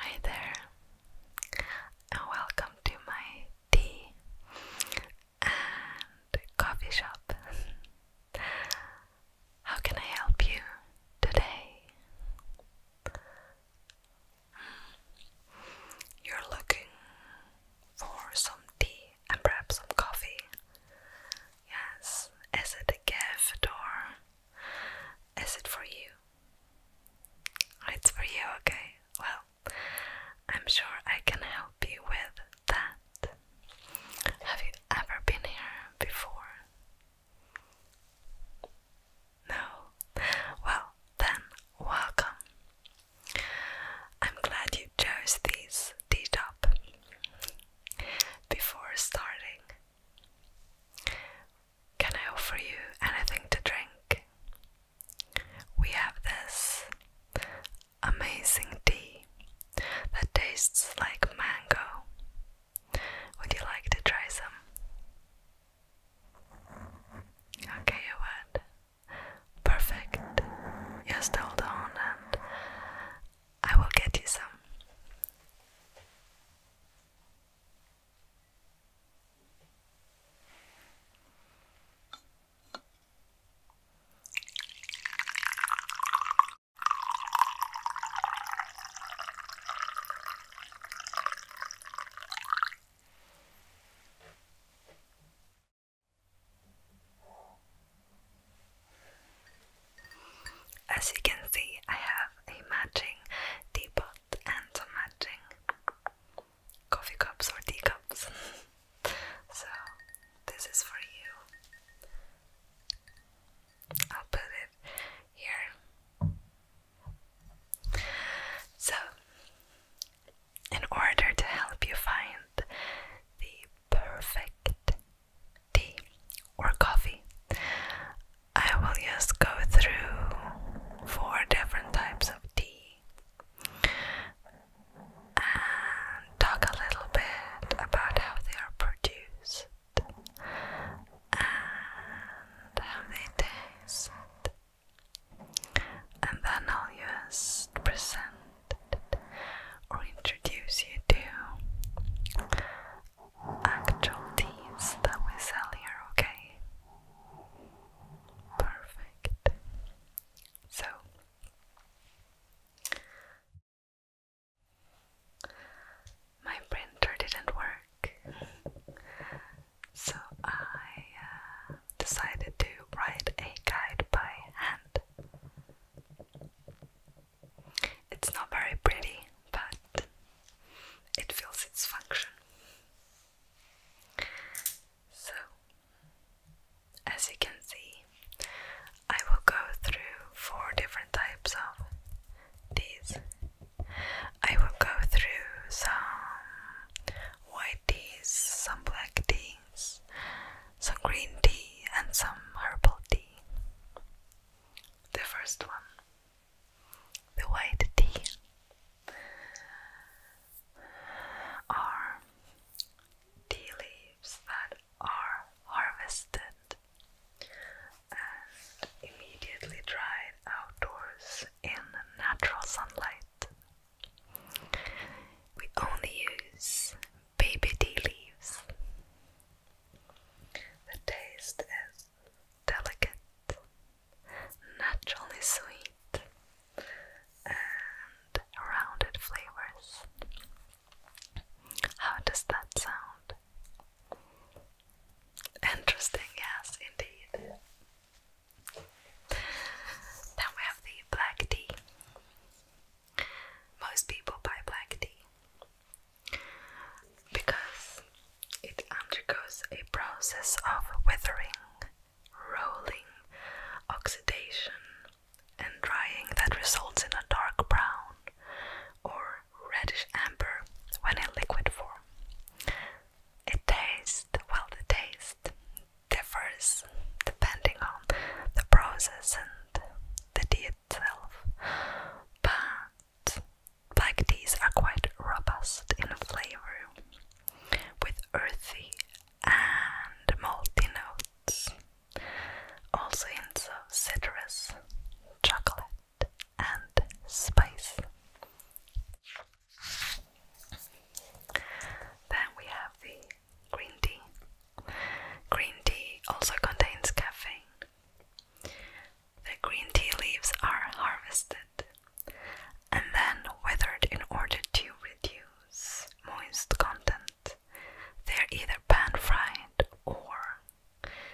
Hi there, welcome to my tea and coffee shop. How can I help you today? Hmm, you're looking for some tea and perhaps some coffee. Yes, is it a gift or is it for you? It's for you, okay. Well, I'm sure I can help you with that. Have you ever been here before? No? Well, then, welcome. I'm glad you chose these tea top before starting. Can I offer you anything to drink? We have this amazing tea that tastes like mango. Would you like to try some? Okay, you would. Perfect. Just hold on and I will get you some. As you can see, I have a matching teapot and some matching coffee cups or teacups. so, this is for you. I'll put it here. So, in order to help you find the perfect tea or coffee. I will just go through four different types of tea and talk a little bit about how they are produced and how they taste. And then I'll just present or introduce you to actual teas that we sell here, okay? Perfect. So my printer didn't work, so I uh, decided to write a guide by hand. It's not very pretty, but it fills its function. So, as you can see, I will go through four different types of teas. I will go through some white teas, some black tea, some green tea and some herbal tea. The first one, the white tea, are tea leaves that are harvested and immediately dried outdoors in natural sunlight we only use baby tea leaves. The taste is delicate, naturally sweet, and rounded flavors. How does that sound? Interesting, yes, indeed. Then we have the black tea. Most people buy black tea because it undergoes a process of weathering, rolling, oxidation, and drying that results in a dark brown or reddish amber when in liquid form. It tastes, well, the taste differs depending on the process and the tea itself, but black teas are quite robust in flavor with earthy and malty notes, also hints of citrus, chocolate, and spice. Then we have the green tea. Green tea also contains caffeine. The green tea leaves are harvested and then withered in order to reduce moist content. They're either pan fried or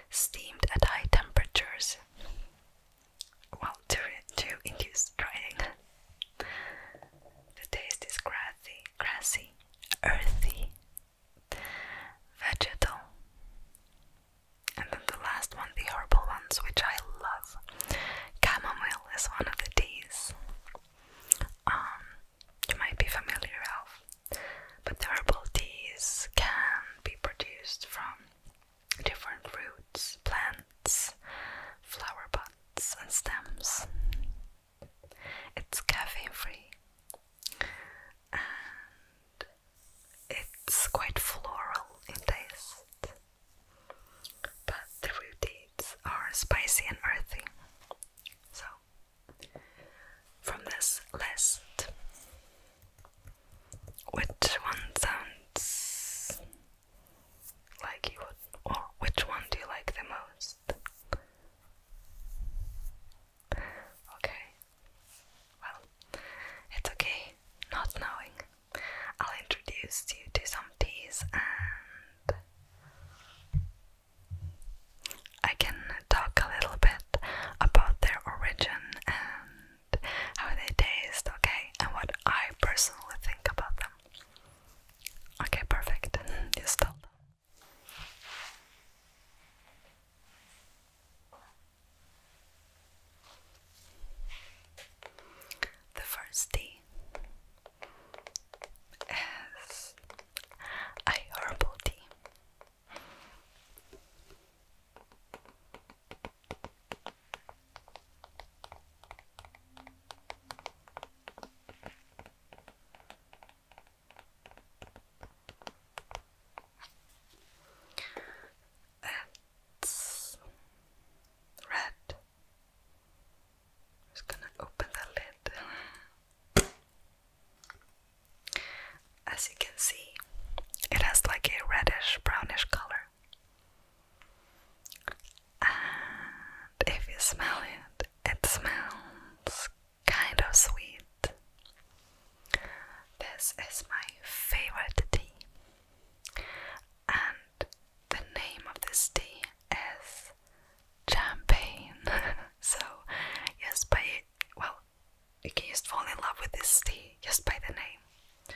steamed at high temperatures well, to, to induce drying. the taste is grassy, grassy, earthy, vegetal. And then the last one, the herbal ones, which I love. Chamomile is one of the teas. Um, you might be familiar with, but the herbal teas can be produced from different roots, plants, flower pots, and stems. It's caffeine free and it's quite floral in taste, but the root roots are spicy and earthy. So, from this list, which one sounds like you would, or which one do you like the most? Okay, well, it's okay not knowing. I'll introduce you to some teas and I can talk a little bit about their origin and how they taste, okay, and what I personally think about them. Okay, perfect. You stop. The first tea is a herbal tea. That's red. I'm just gonna open the lid. As you can see, it has like a reddish brownish color. And if you smell it, it smells kind of sweet. This is my favorite tea, and the name of this tea is champagne. so, just by well, you can just fall in love with this tea just by the name.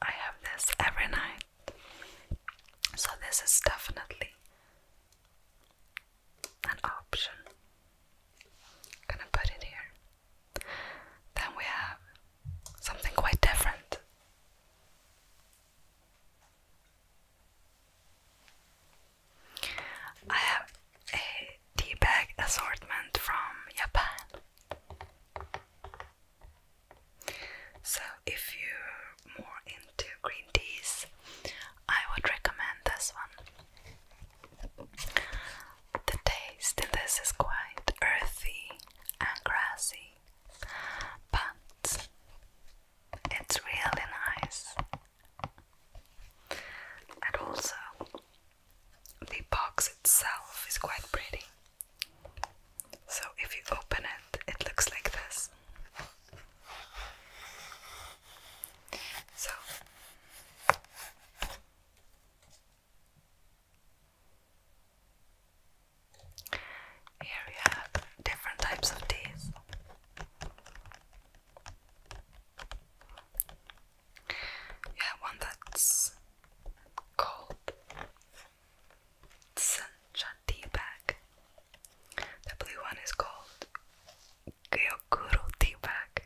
I have this every night. So, this is definitely an option. gonna put it here. Then we have something quite different. I have a tea bag assortment from Japan. So, if you're more into green teas, I would recommend this one. The taste in this is quite earthy and grassy, but it's really nice. And also, the box itself is quite pretty. So if you open it, it looks like this. So here we have different types of teas. Yeah, one that's called Sancha tea bag. The blue one is called Geokuro Tibag,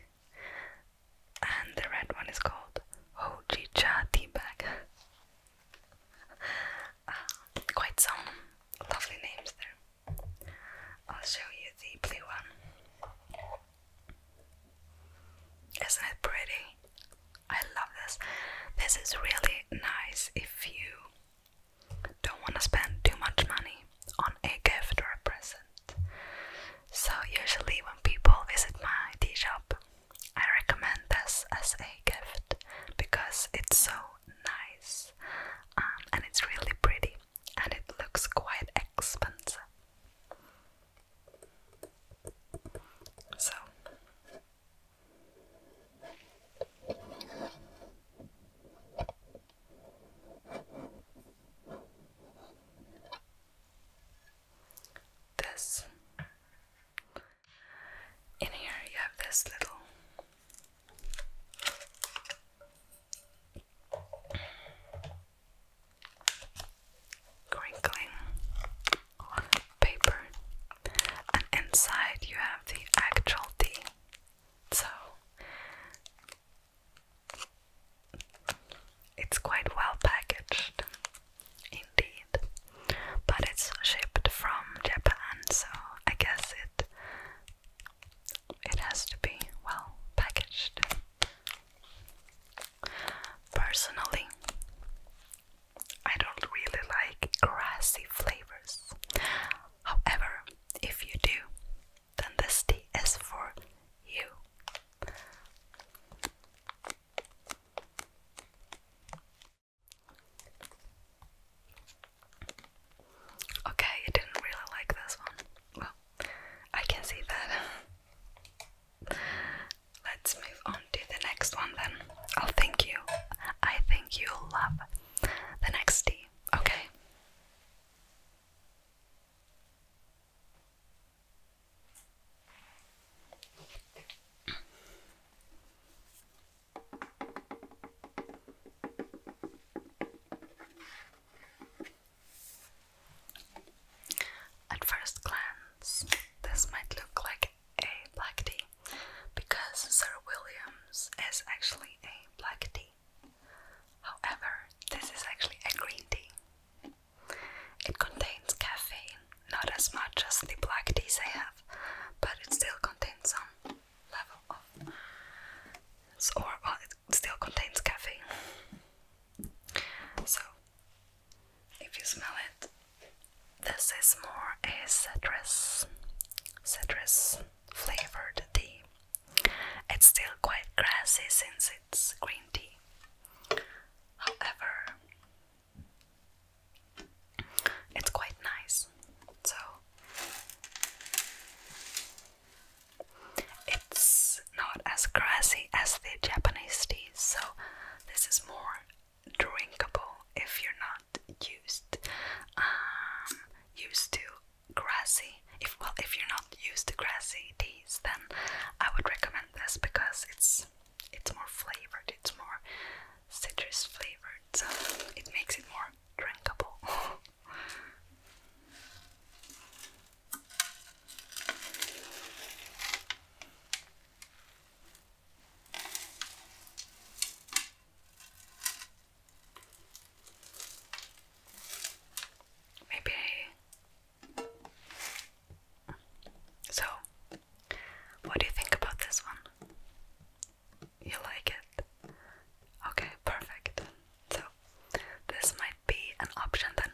And the red one is called Hoji Cha tea ah, quite some lovely names there. I'll show you the blue one. Isn't it pretty? I love this. This is really nice if you don't want to spend too much money on a gift or a present. So, usually, when people visit my tea shop, I recommend this as a gift because it's so nice um, and it's really pretty and it looks quite expensive. So this in here you have this little crinkling paper, and inside you have the actual tea. So it's quite well packaged indeed, but it's shipped from Japan, so I guess it it has to be well packaged. Personally, I don't really like grassy flavors. However, if you do, then this tea is for you. Okay, you didn't really like this one. I can see that. Let's move on to the next one then. I'll you. I think you'll love the next tea. Okay. At first glance, this might look like a black tea because Sir William's is actually a black tea. However, this is actually a green tea. It contains caffeine, not as much as the black teas I have, but it still contains some level of. Or, it still contains caffeine. So, if you smell it, this is more a citrus, citrus flavored tea. It's still quite grassy since it's green tea. However, it's quite nice. So, it's not as grassy as the Japanese teas, so this is more drinkable if you're not used um, used to grassy. If well, if you're not used to grassy teas, then I would recommend this because it's it's more flavored, it's more citrus flavored, so it makes it more drinkable. Maybe So, what do you think about this one? You like it? Okay, perfect. So this might be an option then.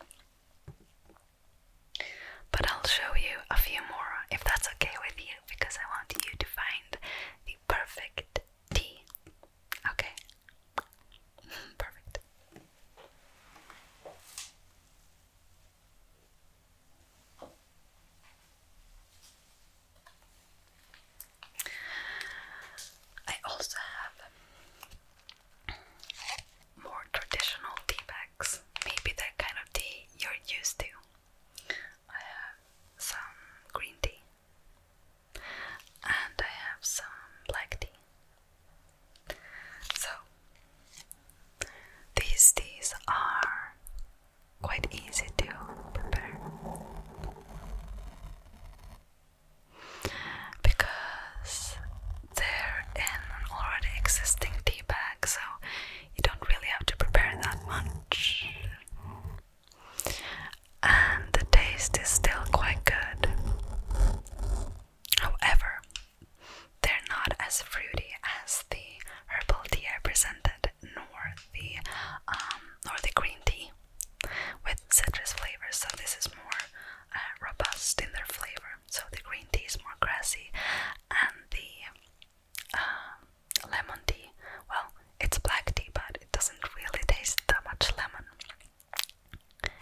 But I'll show you a few more if that's okay with you because I want you to find the perfect tea. Okay? perfect. I also have more traditional tea bags, maybe that kind of tea you're used to. I have some green tea and I have some black tea. So these teas are quite easy to prepare because they're in an already existing tea bag, so you don't really have to prepare that much. And the taste is still quite good. However, they're not as fruity as the herbal tea I presented, nor the um, nor the green tea with citrus flavors. So this is more uh, robust in their flavor. So the green tea is more grassy, and the uh, lemon tea, well, it's black tea, but it doesn't really taste that much lemon.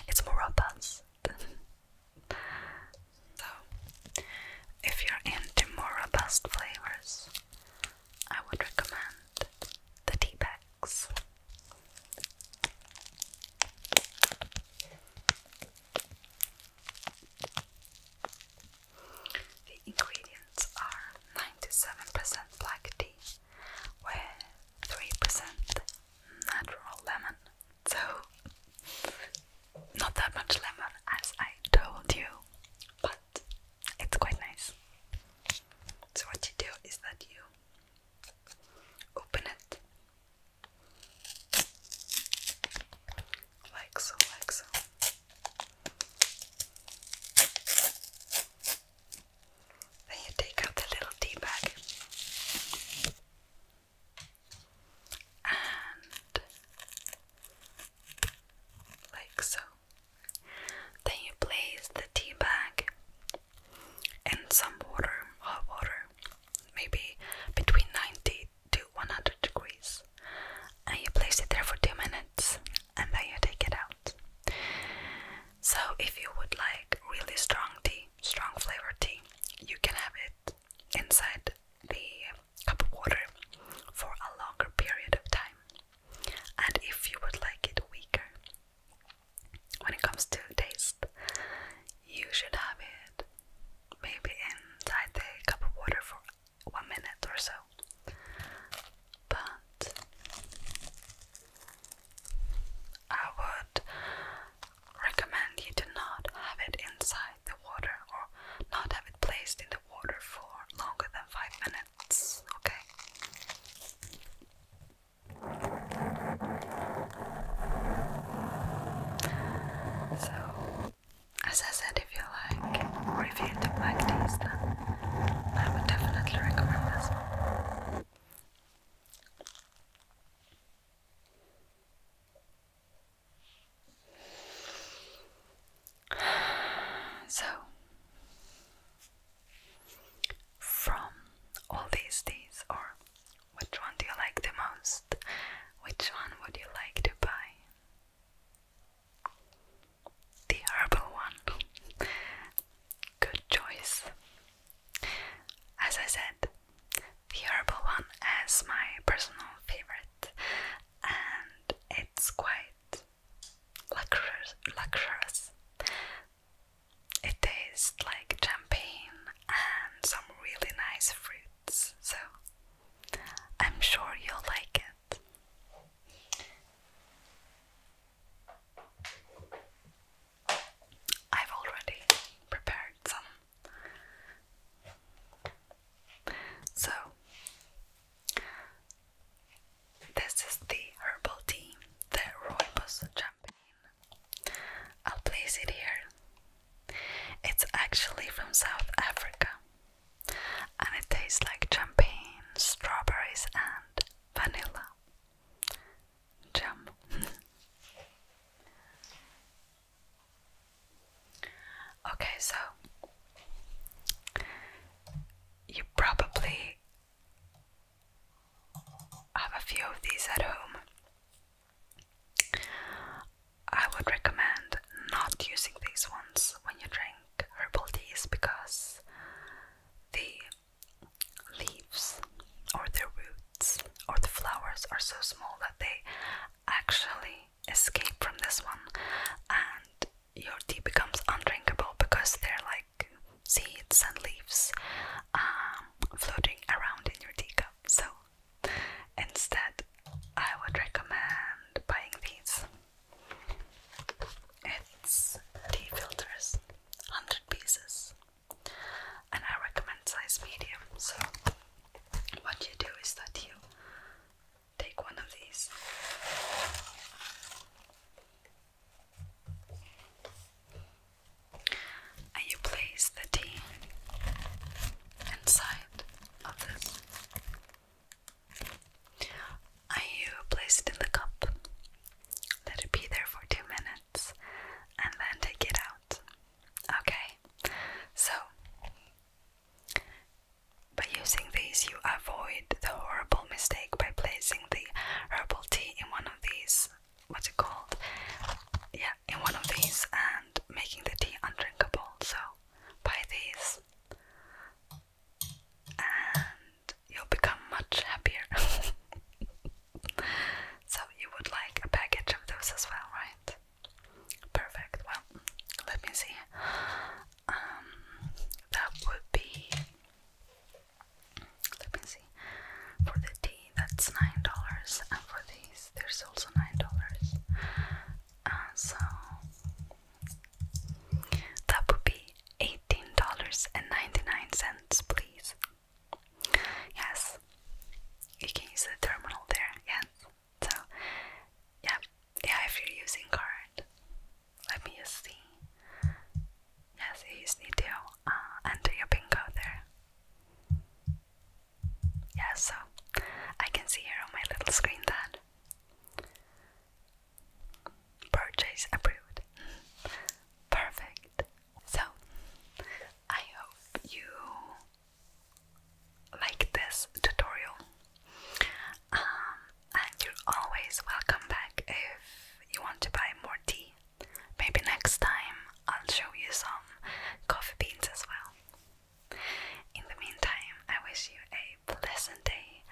It's more robust. so, if you're into more robust flavors, I would recommend the tea bags. The ingredients are 97% black tea, with 3% natural lemon. So, not that much lemon as I told you, but it's quite nice. So, what you do is that you open it like so, like so. Then you take out the little tea bag and like so. Then you place the tea bag and some water, hot water, maybe between 90 to 100 degrees, and you place it there for two minutes, and then you take it out. So, if you would like really strong tea, strong flavored tea, you can have it inside the cup of water for a longer period of time and if you would like it weaker. When it comes to taste, you should have it maybe inside the cup of water for one minute or so. But I would recommend you to not have it inside the water or not have it placed in the water for longer than five minutes okay? So, as I said, if you like revealed black teas, then I would definitely recommend this one. So, from all these days, or which one do you like the most? Which one would you like to buy? The herbal one. Good choice. As I said, the herbal one as my personal favorite, and it's quite Licorice, licorice. It tastes like champagne and some really nice fruits, so I'm sure you'll like it. I've already prepared some. So, this is the herbal tea that Roybos champagne. I'll place it here. It's actually from South Africa and it tastes like champagne, strawberries, and vanilla. Jam. okay, so you probably have a few of these at home. I would recommend not using these ones when you drink herbal teas because the leaves or the roots or the flowers are so small that they actually escape from this one and your tea becomes undrinkable because there are like seeds and leaves um, floating around in your teacup. So instead, I would recommend buying these. It's tea filters, 100 pieces, and I recommend size medium. So, what you do is that you take one of these. you place the tea inside of this. you place it in the cup. Let it be there for two minutes and then take it out. Okay, so by using these, you avoid the horrible mistake by placing the herbal tea in one of these. What's it called? Yeah, in one of these and making the tea undrinkable. So, buy these and you'll become much happier. so, you would like a package of those as well, right? Perfect. Well, let me see um, that would be let me see for the tea that's nine dollars and for these there's also nine dollars uh, so that would be eighteen dollars and ninety nine cents please yes you can use the terminal there yes so yeah, yeah, if you're using card, let me see. Yes, you just need to uh, enter your pin code there. Yeah, so I can see here on my little screen that purchase approved. Perfect. So I hope you like this tutorial. Um, and you're always welcome back if you want to buy more tea. Maybe next time I'll show you some coffee beans as well. In the meantime, I wish you a pleasant day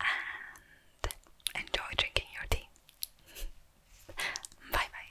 and enjoy drinking your tea. bye bye.